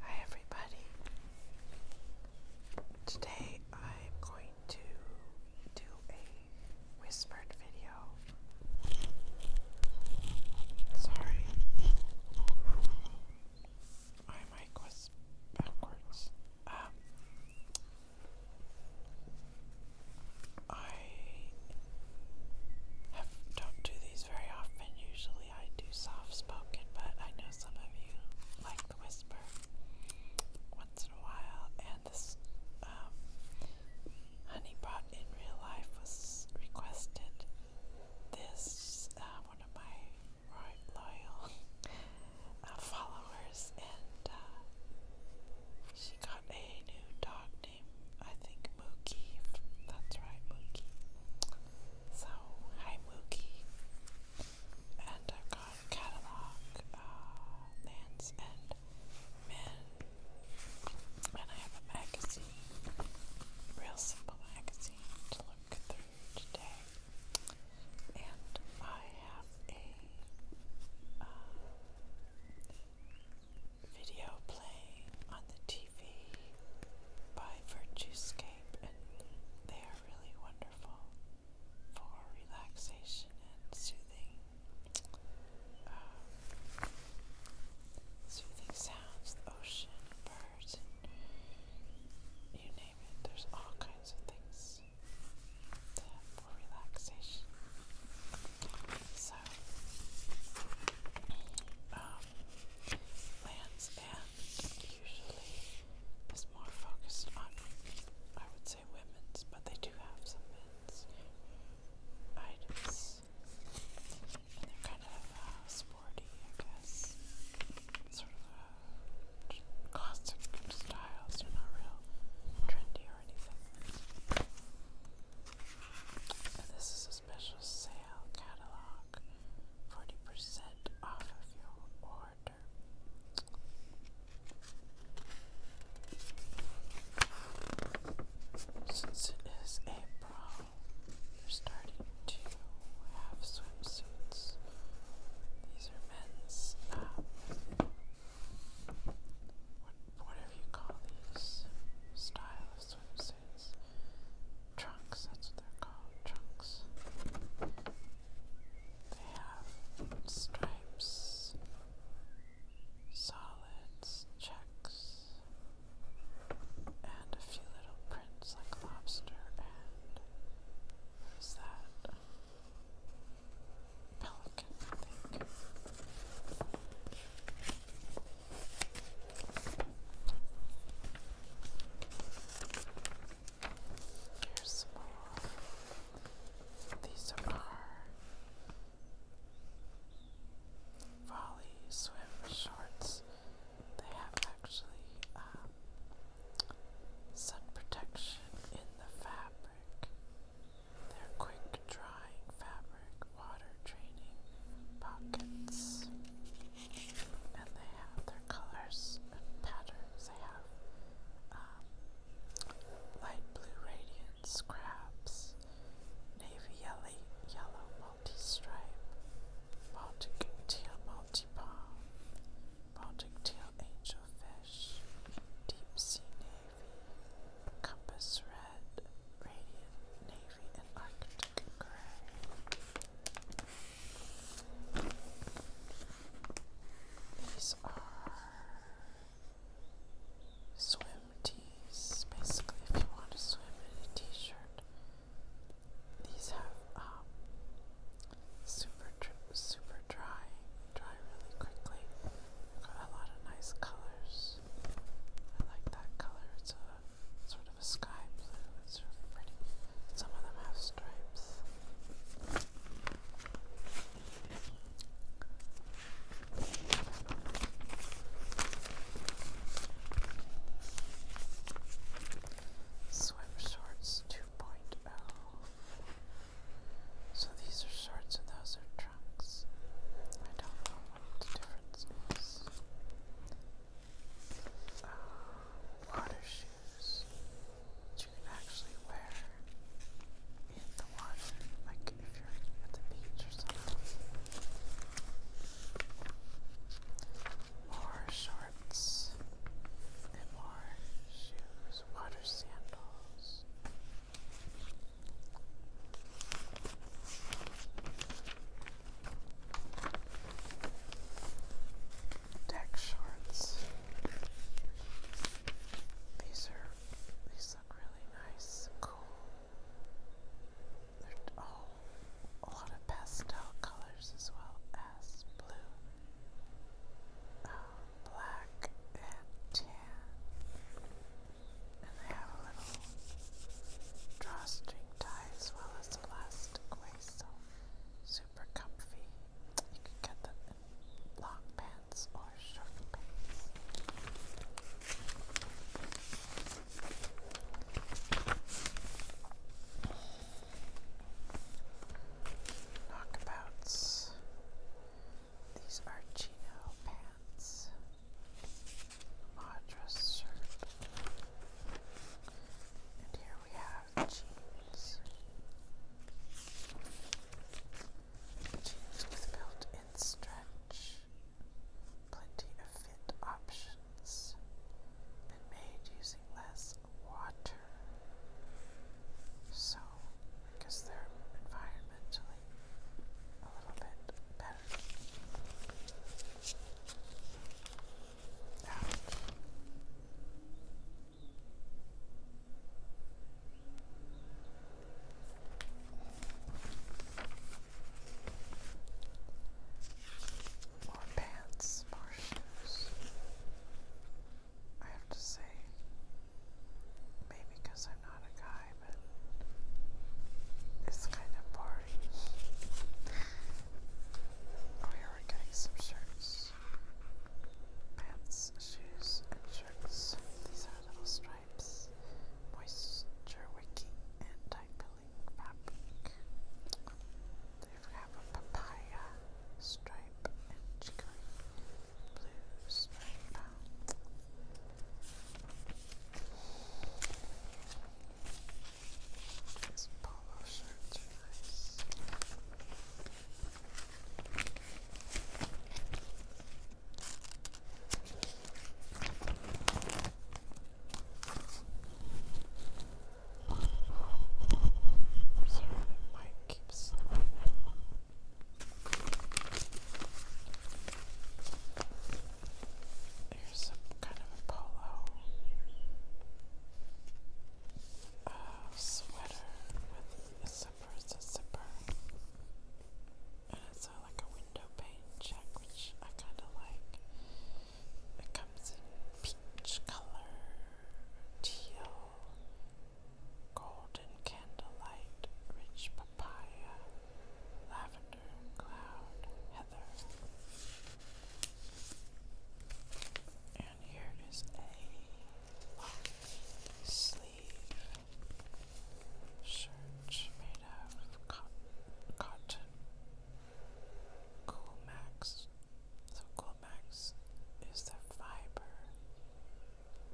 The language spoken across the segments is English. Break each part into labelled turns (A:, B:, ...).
A: Hi everybody. Today I'm going to do a whispered video. Sorry. My mic was backwards. Um, I don't do these very often usually usually I do soft spoken, but I know some of you like the whisper once in a while. And this um, honeypot in real life was requested. This uh, one of my loyal uh, followers, and uh, she got a new dog named I think Mookie. That's right, Mookie. So, hi Mookie. And i got catalog, uh, lands and men. And I have a magazine, real simple magazine to look through today. And I have a uh, video playing on the TV. TV by Virtuescape, and they are really wonderful for relaxation and soothing, um, soothing sounds, the ocean, birds, and you name it. There's all kinds of things for relaxation. So, um, Land's End usually is more focused on, I would say, women's, but they do have some men's items. And they're kind of uh, sporty, I guess. Sort of a uh, classic styles, they're not real trendy or anything. And this is a special sale catalog. 40% off of your order. Since it is April, you are starting to have swimsuits. These are men's, uh, what, whatever you call these, style Trunks, that's what they're called, trunks. They have stripes, solids, checks, and a few little prints like lobster and what is that? Pelican, I think. These are volley swim shorts. They have actually um, sun protection in the fabric. They're quick drying fabric, water draining pockets and they have their colors and patterns. They have um, light blue radiance crabs, navy yellow, yellow multi-stripe, Baltic teal multi-palm, Baltic teal angelfish, deep sea navy, compass red, radiant navy, and arctic gray. These are swim tees, basically, if you want to swim in a t shirt. These have um, super, super dry, dry really quickly. a lot of nice colors. I like that color, it's a sort of of sky blue. It's pretty. Some of them have stripes. Swim shorts 2.0. So these are shorts and those are trunks. I don't know what the difference is. Um, water shoes that you can actually wear in the water, like if you're at the beach or something. More shorts and more shoes, water sandals. Deck shorts. These are these look really nice cool. They're all oh, a lot of pastel colors as well as blue, um, black, and tan. And they have a little drawstring tie as well as elastic waist. So super comfy. You can get them in long pants or short pants. Knockabouts. These are chino pants. Madras shirt. And here we have jeans. Jeans with built-in stretch. Plenty of fit options. Been made using less water. So, I they're environmentally a little bit better out. More pants, more shoes. I have to say, maybe because I'm not a guy, but it's kind of boring. Oh, we are getting some shirts. Pants, shoes, and shirts. These are little stripes, moisture wicking, and tight pilling fabric. They have a papaya stripe and chicory blue stripe. These polo shirts sorry, the mic keeps Here's some kind of a polo uh, sweater with a zipper, it's a zipper, and it's like a window pane check, which I kind of like. It comes in peach color, teal, golden candlelight, rich papaya, lavender cloud, Heather. And here is a long sleeve shirt made of cotton, cotton. So Cool is the fiber,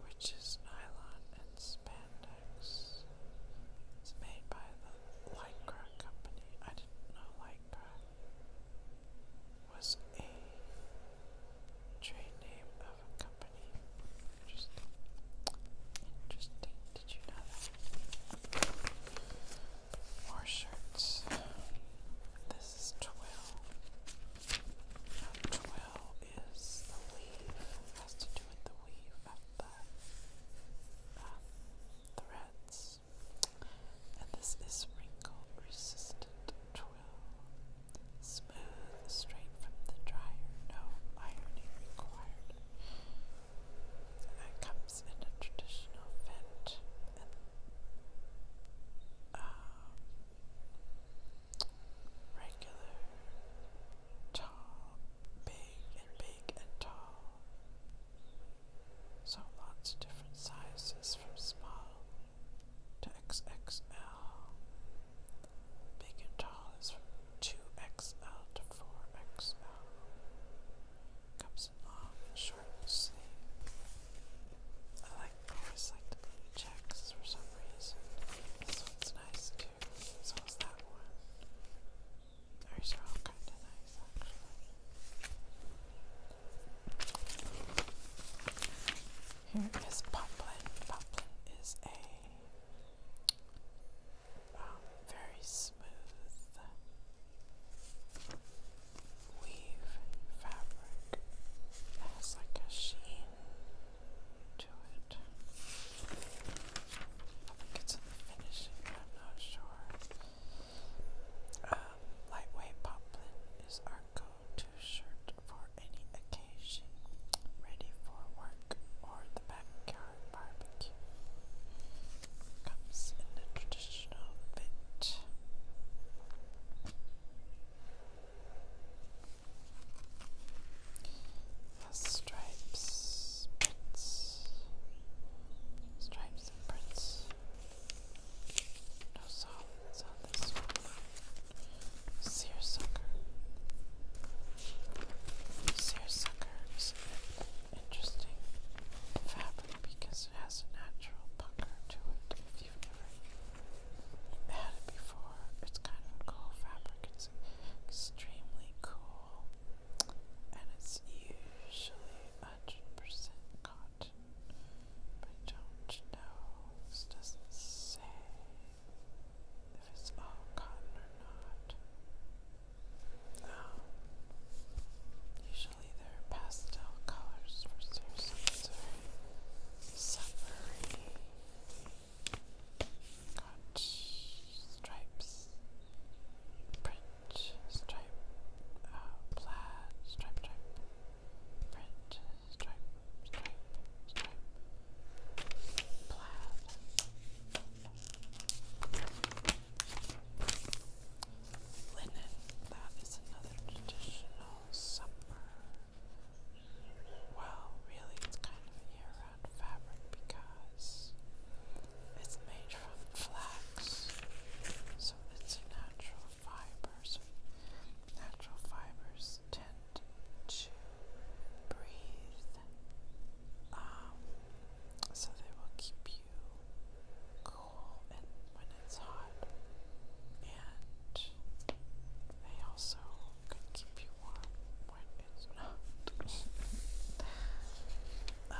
A: which is nylon and spandex. It's made by the Lycra company. I didn't know Lycra was a trade name of a company. Interesting. Did you know that? More shirts. This is twill. Now is the weave. has to do with the weave of the um, threads. And this is wrinkle resistant twill. Smooth, straight from the dryer, no ironing required. it comes in a traditional vent and um, regular, tall, big and big and tall so lots of different sizes from small to XXL. Big and tall is from 2XL to 4XL. Comes in long and short and sleeve. I like always like the blue checks for some reason. This one's nice too. So is that one. These are all kinda nice actually. Here is poplin. Poplin is a um, very smooth weave fabric. It has like a sheen to it. I think it's in finishing, I'm not sure. Um, lightweight poplin is our go-to shirt for any occasion, ready for work or the backyard barbecue. Comes in the traditional fit. Stripes, prints, stripes and prints. No salt is on this one. Seersucker. Seersucker is an interesting fabric because it has a natural pucker to it. If you've never had it before, it's kind of a cool fabric. It's extremely cool. And it's usually hundred percent cotton. But I do doesn't say if it's all cotton or not. Um, usually there are pastel colors for sunscreens or summery got stripes, print, stripe, uh, plaid, stripe, stripe, print, stripe, stripe, stripe, plaid, linen. That is another traditional summer. Well, really, it's kind of a year-round fabric because it's made from flax, so it's natural fibers, natural fibers tend to breathe, um, so they will keep you cool and when it's hot, and they also can keep you warm when it's not. Uh,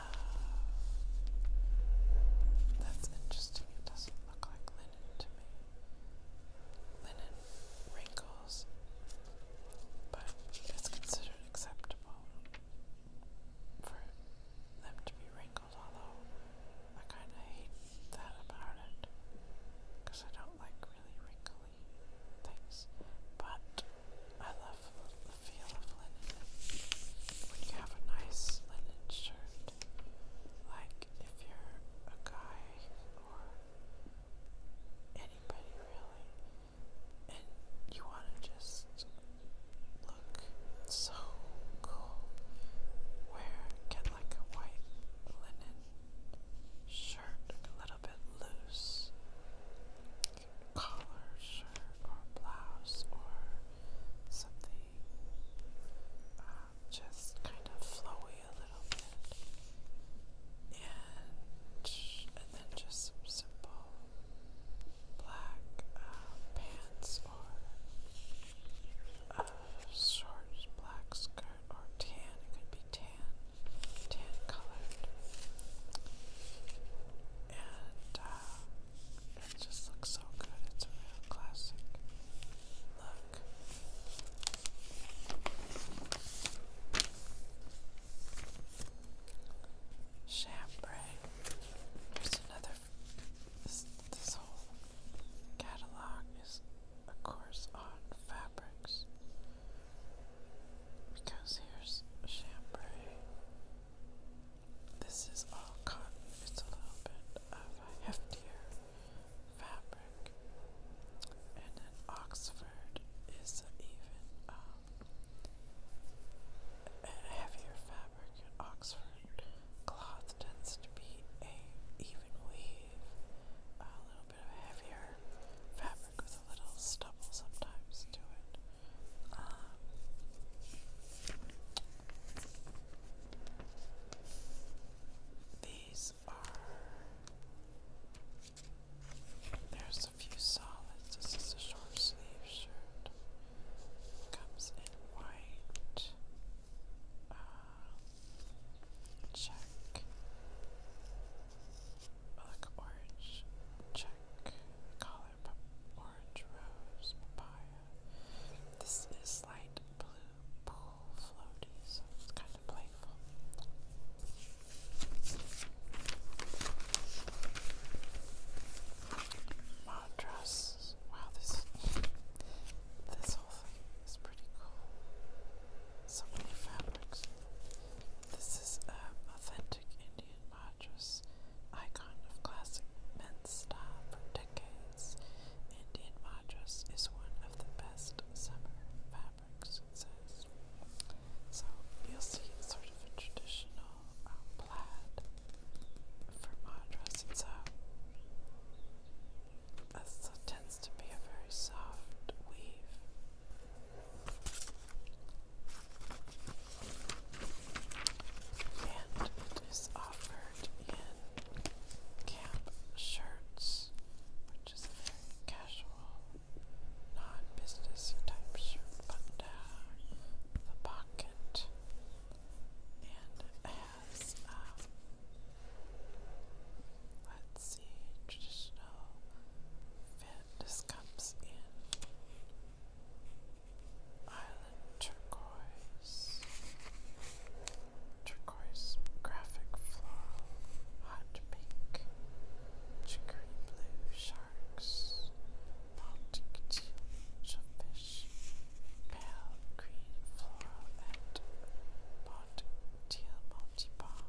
A: that's interesting look like linen to me. Linen wrinkles, but it's considered acceptable for them to be wrinkled, although I kind of hate that about it because I don't like really wrinkly things. But I love the feel of linen. When you have a nice linen shirt, like, if you're a guy or anybody really, and you want to just look so cool, wear, get like a white linen shirt, a little bit loose, collar shirt or blouse or something just kind of flowy a little bit, and and then just some simple black uh, pants or a short black skirt or tan. It could be tan, tan colored, and. Uh, it just looks so good. It's a real classic look. Chambray. There's another. This, this whole catalog is, of course, on fabrics. Because here's chambray. This is all cotton, it's a little bit of a heftier fabric. And an Oxford is even um, a heavier fabric. And Oxford cloth tends to be a even weave, a little bit of a heavier fabric with a little stubble sometimes to it. Um, these are. There's a few solids. This is a short sleeve shirt. Comes in white. Uh, check. Like orange. Check. Collar. Orange rose. Papaya. This is light blue pool floaty, it's kind of playful. Madras. Wow, this this whole thing is pretty cool. So many fabrics. This is an um, authentic Indian madras icon of classic Menstop for decades. Indian madras is one of the best summer fabrics, So you'll see it's sort of a traditional um, plaid for madras. It's a, this tends to be a very soft weave. And it is offered in camp shirts, which is a very casual, non-business type shirt, button down uh, the pocket, and has um, let's see, traditional fit. This comes in. I turquoise, turquoise, graphic floral, hot pink, chicory blue sharks, Baltic teal fish, pale green floral, and Baltic teal multi-bomb.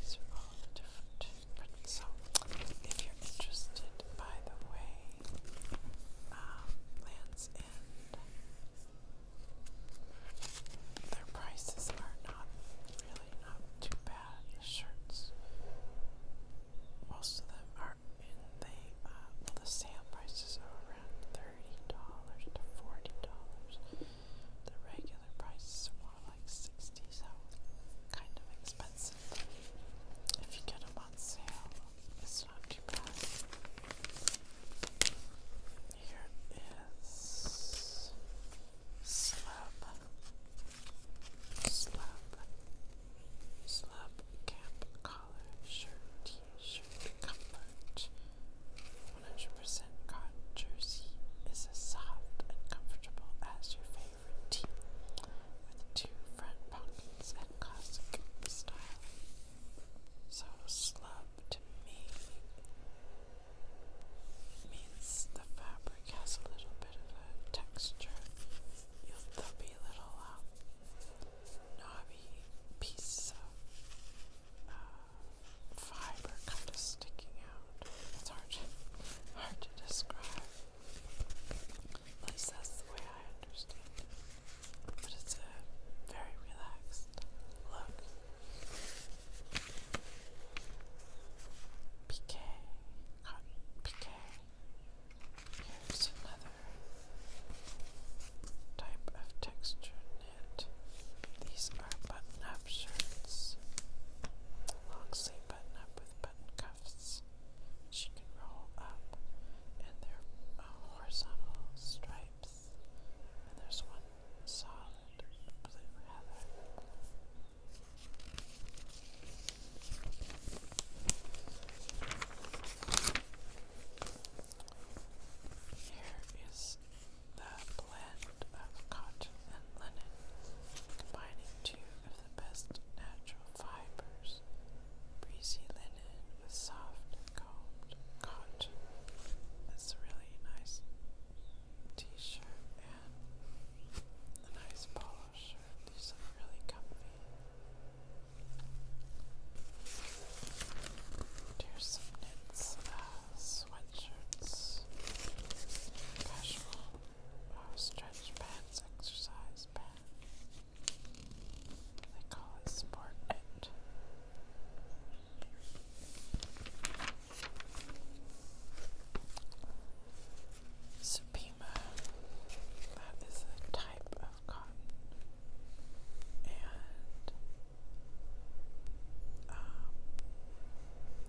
A: These are all the different so, if you're interested, by the way, um, Lance and their prices are not really not too bad. The shirts, most of them are in the uh, well, the sale prices are around thirty dollars to forty dollars. The regular prices are more like sixty, so kind of expensive. If you get them on sale, it's not too bad. Here is slab, slab, slab camp collar shirt, t-shirt comfort. 100% cotton jersey is as soft and comfortable as your favorite tee, with two front pockets and classic style. So slub to me means the fabric has a little bit of a texture. You'll be little uh, knobby pieces of uh, fiber kind of sticking out. It's hard hard to describe. At least that's the way I understand it but it's a very relaxed look. Piqué, cotton piqué. Here's another type of texture knit. These are button-up shirts, long sleeve button-up with button cuffs. She can roll up, and they're horizontal stripes and there's one solid blue heather. Here is the blend of cotton and linen, combining two of the best natural fibers breezy linen with soft combed cotton. It's a really nice t-shirt and a nice polo shirt. These are really comfy. There's some knits, uh, sweatshirts, casual uh, stretch pants, exercise pants. They call it sport knit. Supima, that is a type of cotton, and um,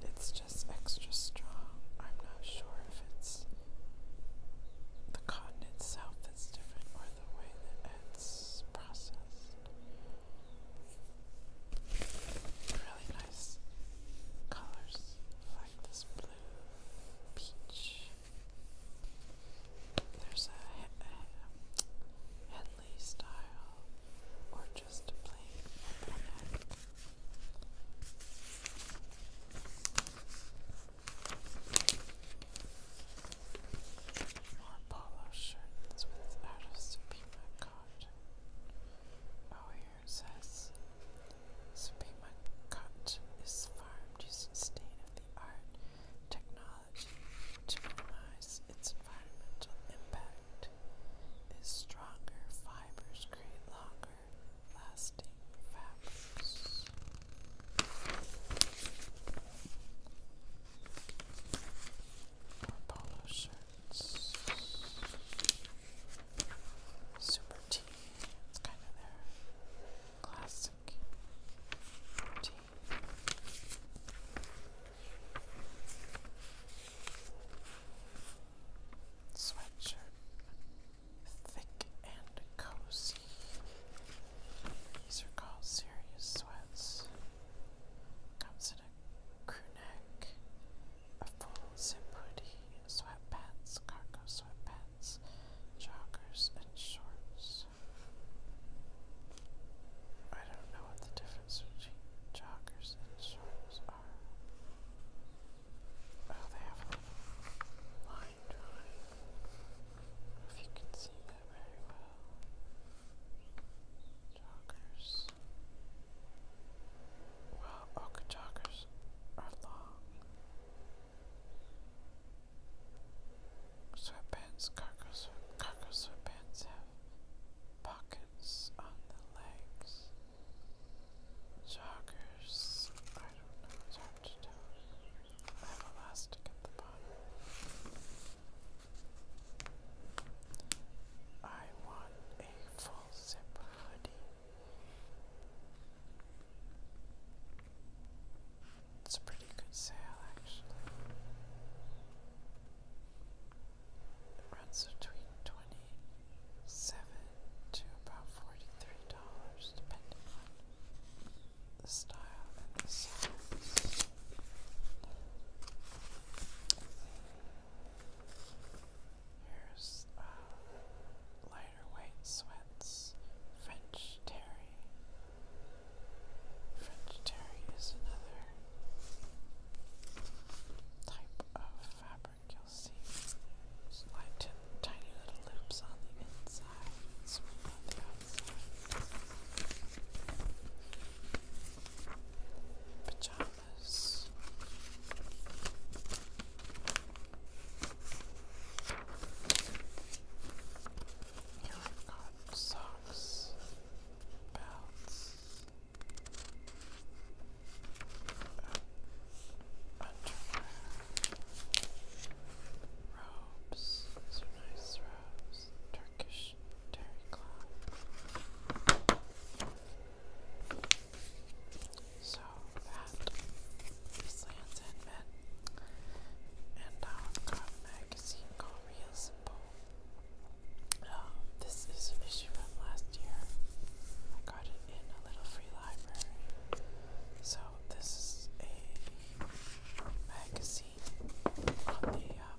A: it's just extra strong. I'm not sure if it's the cotton itself that's different the way that it's processed. Really nice colors like this blue, peach. There's a, Henley style or just plain more polo shirts with artist Supima cotton. Oh, here it says Supima cotton is farmed using state of the art technology to minimize its environmental impact. Its stronger fibers create longer lasting fabrics. More shirts. Super tea. It's kind of their classic tea. Sweatshirt. Thick and cozy. These are called serious sweats. Comes in a crew neck, a full zip hoodie, sweatpants, cargo sweatpants, joggers, and shorts. I don't know what the difference between joggers and shorts are. Oh, they have a line drawing. If you can see that very well. Joggers. Well, okay, joggers are long. Sweatpants, cargo, sweatpants have pockets on the legs. Joggers, I don't know, it's hard to tell. I have elastic at the bottom. I want a full zip hoodie. It's a pretty good sale, actually. It runs between twenty-seven to about forty-three dollars, depending on the style and the size. Here's lighter white sweats, French terry. French terry is another type of fabric you'll see. There's tiny little loops on the inside, swoop on the outside. Pajamas. Here I've got socks, belts, underwear, robes. These are nice robes. Turkish so that is Lance And now I've got magazine called Real Simple. this is an issue from last year. I got it in a little free library. So this is a magazine on the um,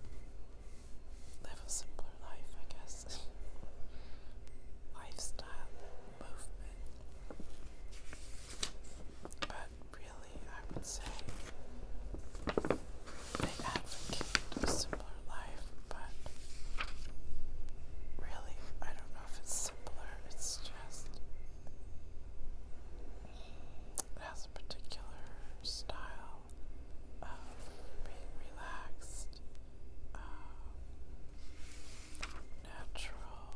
A: Simpler Life, I guess, lifestyle movement. But really, I would say they advocate a simpler life, but really, I don't know if it's simpler, it's just. It has a particular style um, being relaxed, natural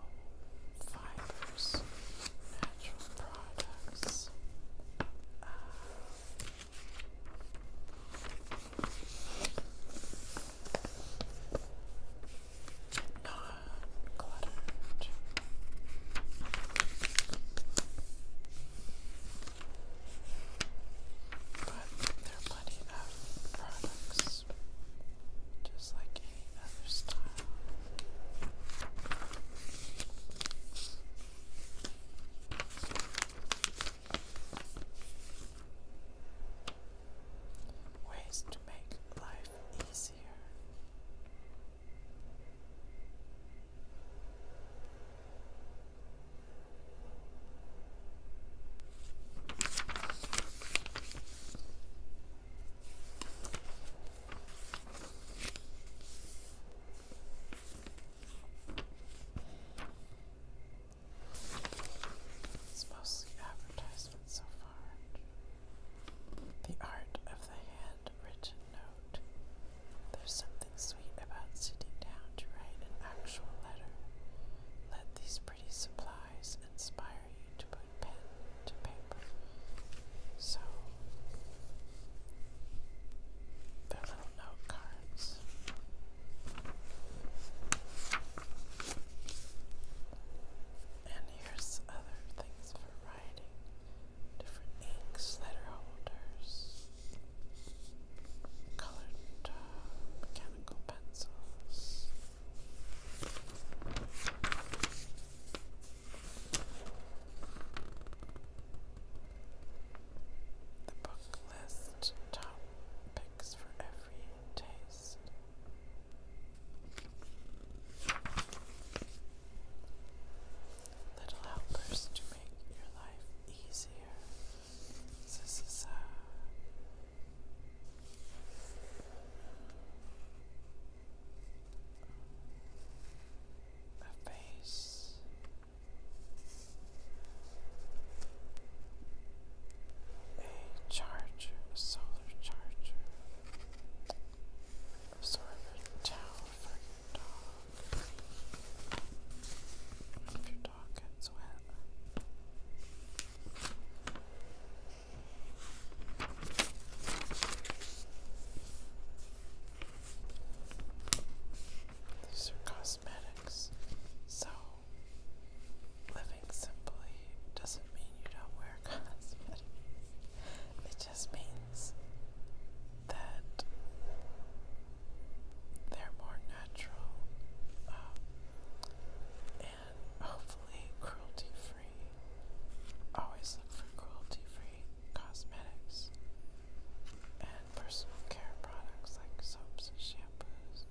A: fibers, natural products. Um, cluttered. But there are plenty of products, just like any other style. Ways to make life easier. It's mostly advertisements so far. The art of the hand and written note. There's something sweet about sitting down to write an actual letter. Let these pretty supplies inspire you to put pen to paper. So, little note cards. And here's other things for writing different inks, letter holders, colored uh, mechanical pencils. The book lists top picks for every taste. Little helpers make your life easier. This is a a face a charger, a solar charger absorber towel for your dog if your dog gets wet. These are cosmetics, so living simply doesn't mean you don't wear cosmetics. It just means that they're more natural um, and hopefully cruelty free. Always look for cruelty free cosmetics and personal care products like soaps shampoos.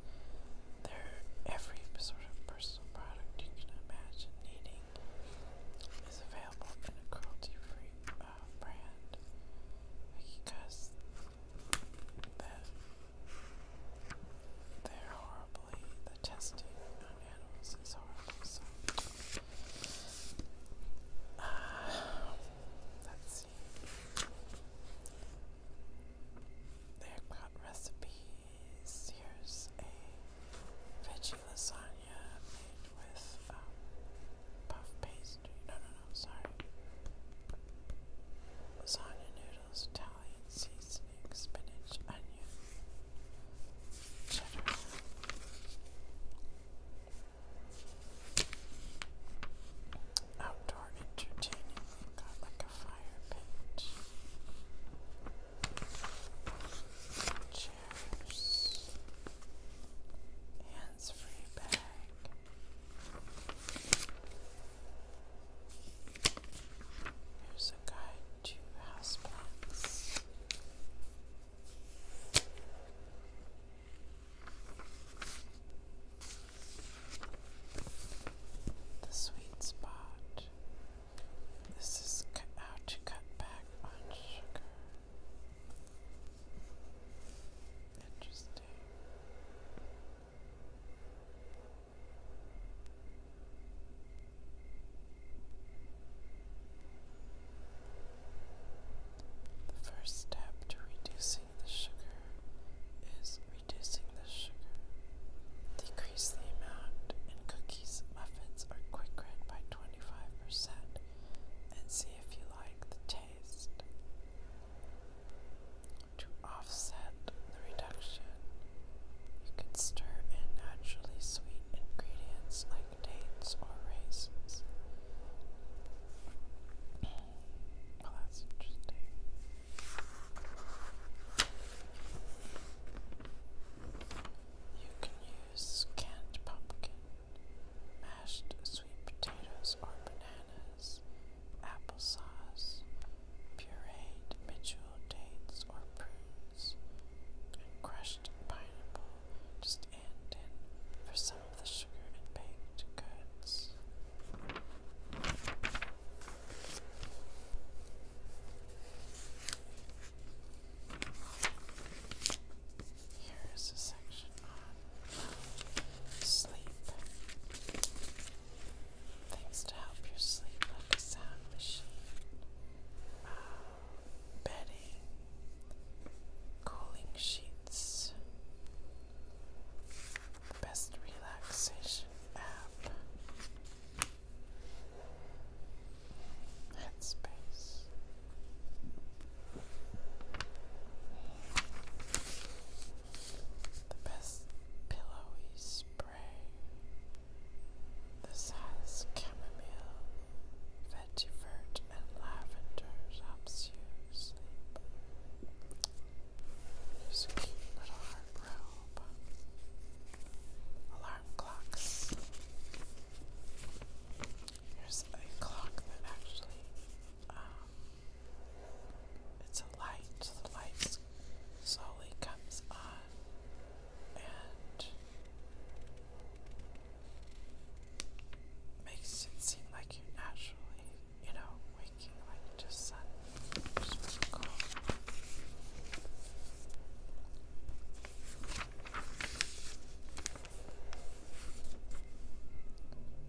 A: they every sort of personal product you can imagine needing is available in a cruelty free uh, brand because that they're horribly the testing on animals is horrible. So let's see. They've got recipes. Here's a veggie lasagna with um, puff pastry. No, no, no, sorry. Lasagna noodles, Italian seasoning, spinach, onion, cheddar. Outdoor entertaining. got like a fire pit. Chairs. And that's free a guide to houseplants. The sweet spot. This is how to cut back on sugar. Interesting. The first step to reducing the sugar is reducing the sugar. Decrease the amount in cookies, muffins, or quick bread by 25% and see if you like the taste to offset the reduction. You can stir in naturally sweet ingredients like dates or raisins. well, that's interesting. You can use canned pumpkin mashed sweet potatoes or bananas, applesauce, pureed Mitchell dates or prunes, and crushed pineapple just and in for some of the sugar and baked goods. Here is a section on um, sleep. Things to help your sleep, like a sound machine, um, bedding, cooling sheets, best relaxation app, headspace. The best pillowy spray. The size chamomile, vetiver, and lavender helps you sleep. There's a cute little heart Alarm clocks. Here's a clock that actually um, it's a light, the light slowly comes on, and makes it seem like you're naturally, you know, waking like sun,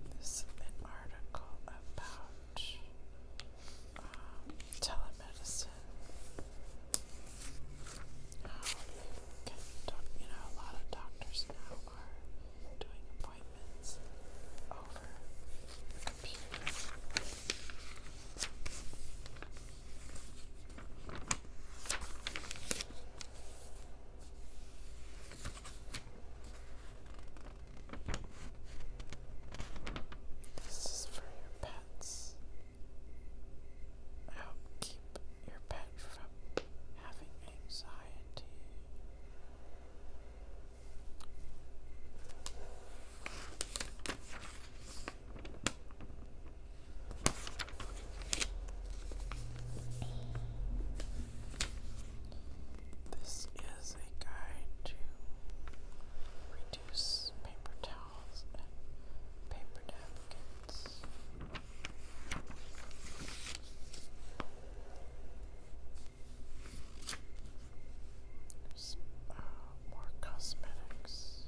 A: there's an article about um, telemedicine. How you can, you know, a lot of doctors now are doing appointments over computer. This is for your pets. Help keep your pet from having anxiety. This is a guide to reduce paper towels and paper napkins. Uh, more cosmetics.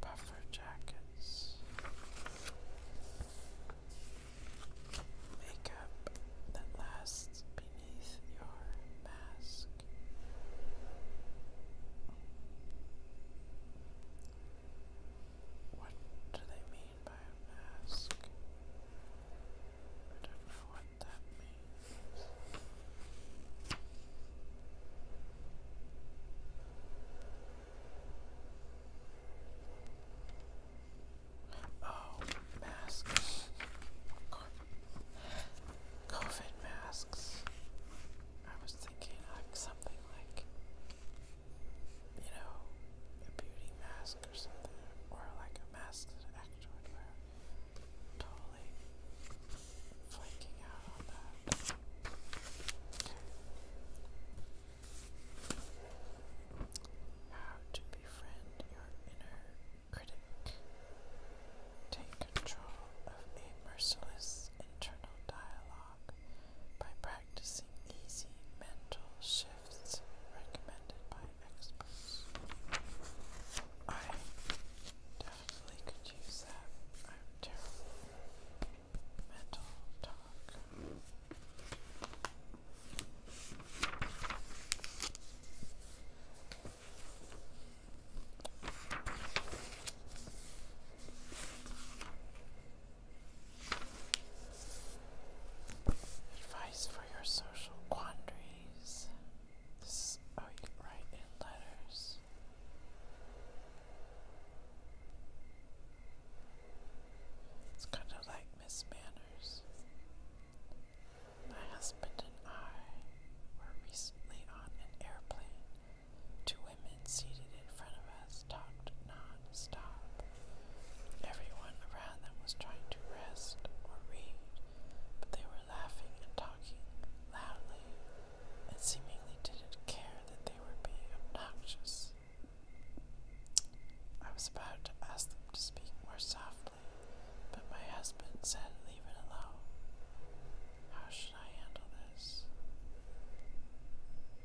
A: Buffer jackets, makeup that lasts beneath your mask. What do they mean by a mask? I don't know what that means. Oh, masks. COVID masks. I was thinking like something like you know, a beauty mask or something, or like a mask that an actor would wear. Totally flaking out on that. How to befriend your inner critic. Take control of a merciless internal dialogue by practicing easy mental shifts recommended by experts. I definitely could use that. I'm terrible mental talk. Advice for your social quandaries. oh, you write in letters. It's kind of like Miss Manners. My husband and I were recently on an airplane. Two women men seated in front of us talked non-stop. Everyone around them was trying to rest or read, but they were laughing and talking loudly and seemingly didn't care that they were being obnoxious. I was about to ask them to speak more softly, but my husband said, Leave it alone. How should I handle this?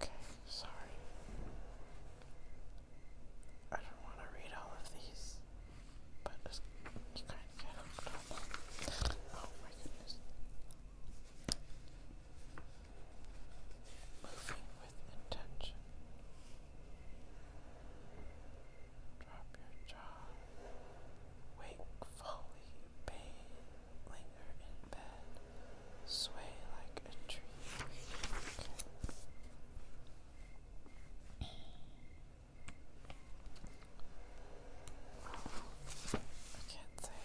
A: Okay, sorry. I don't want to read all of these, but you kind of get hooked Oh my goodness. Moving with intention. Drop your jaw. Wakefully, pain, linger in bed sway like a tree. I can't say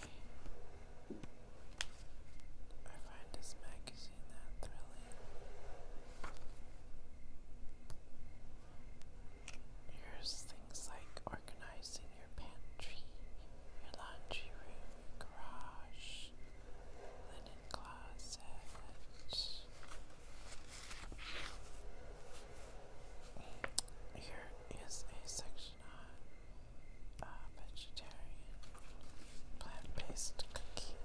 A: I find this magazine that thrilling. Here's things like organizing your pantry, your laundry room, garage, linen here is a section on uh, vegetarian plant-based cooking.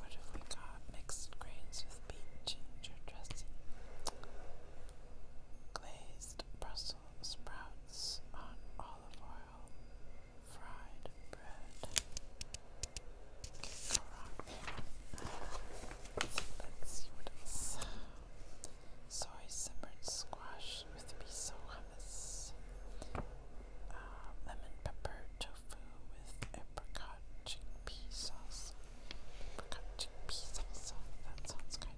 A: What have we got? Mixed grains with beet ginger dressing. Glazed Brussels sprouts on olive oil, fried bread. can Let's, see what else. Soy simmered squash with miso hummus. Uh, lemon pepper tofu with apricot chickpea sauce. Apricot chickpea salsa. That sounds kind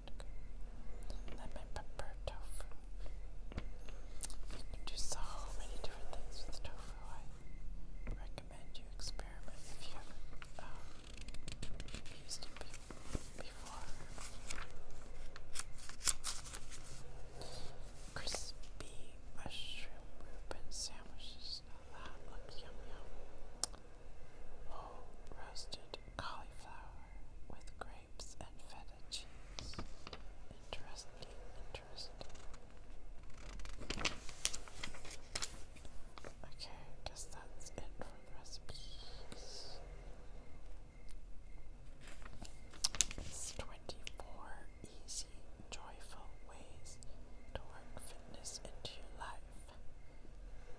A: Lemon pepper tofu. You can do so many different things with tofu. I recommend you experiment if you haven't um, used it before. Crispy mushroom Reuben sandwiches. that looks yum yum. Oh, roasted cauliflower with gravy grapes and feta cheese. Interesting, interesting. Okay, guess that's it for the recipes. 24 easy, joyful ways to work fitness into your life.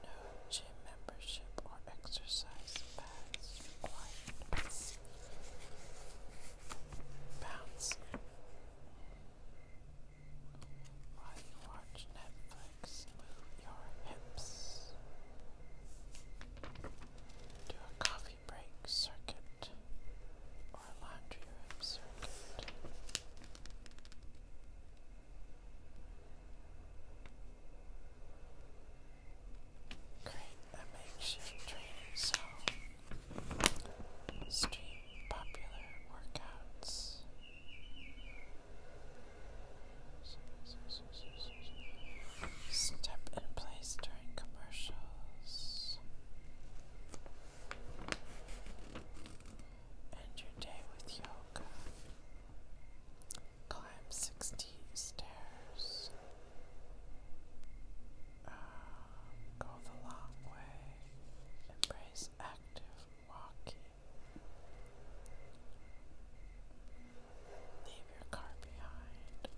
A: No gym membership or exercise pass required. Bounce. While you watch move your hips. Do a coffee break circuit or laundry room circuit. Create a makeshift training zone. Stream popular workouts. Step in place during commercials. End your day with yoga. Climb 16 stairs. Uh, go the long way. Embrace active walking. Leave your car behind.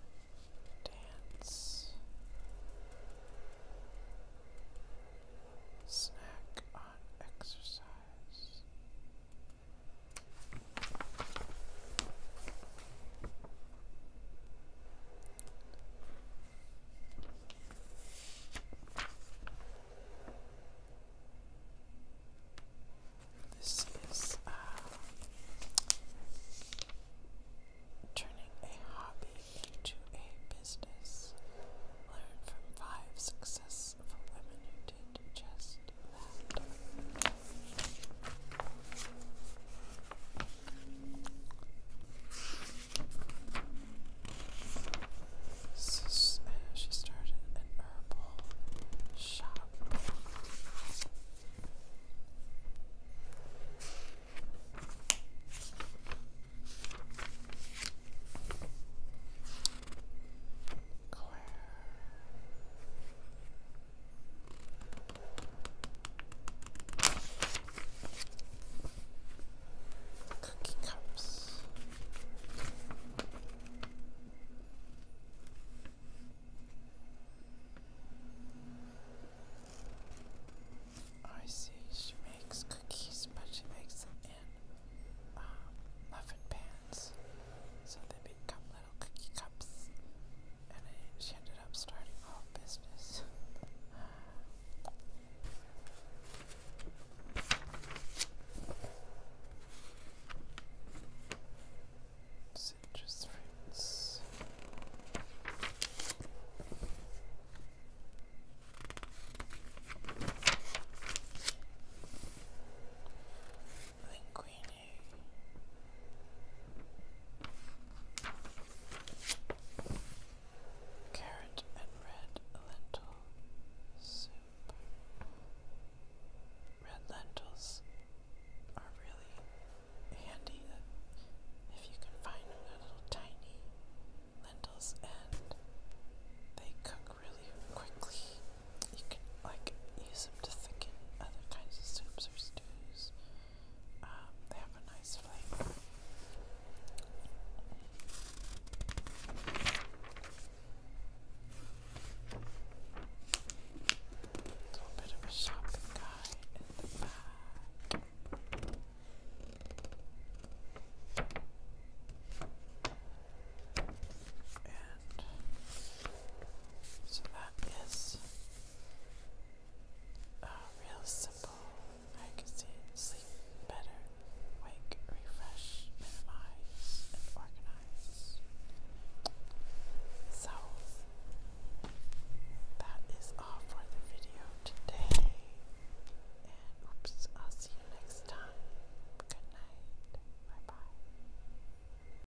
A: Dance. Snack on exercise. This is uh, turning a hobby into a business. Learn from five successful women who did just let's she started an herbal shop. Claire Cookie cups. I see she makes cookies, but she makes them in uh, muffin pans, so they become cookie cups, and she ended up starting her own business. Citrus fruits linguine. Carrot and red lentil soup. Red lentils are really handy if you can find little tiny lentils and they cook really quickly you can like use them to thicken other kinds of soups or stews. Um, they have a nice flavor. little bit of a shopping guide in the back. So that is a real simple, I can sleep better, wake, refresh, minimize, organize. So that is all for the video today. And oops, I'll see you next time. Good night. Bye bye.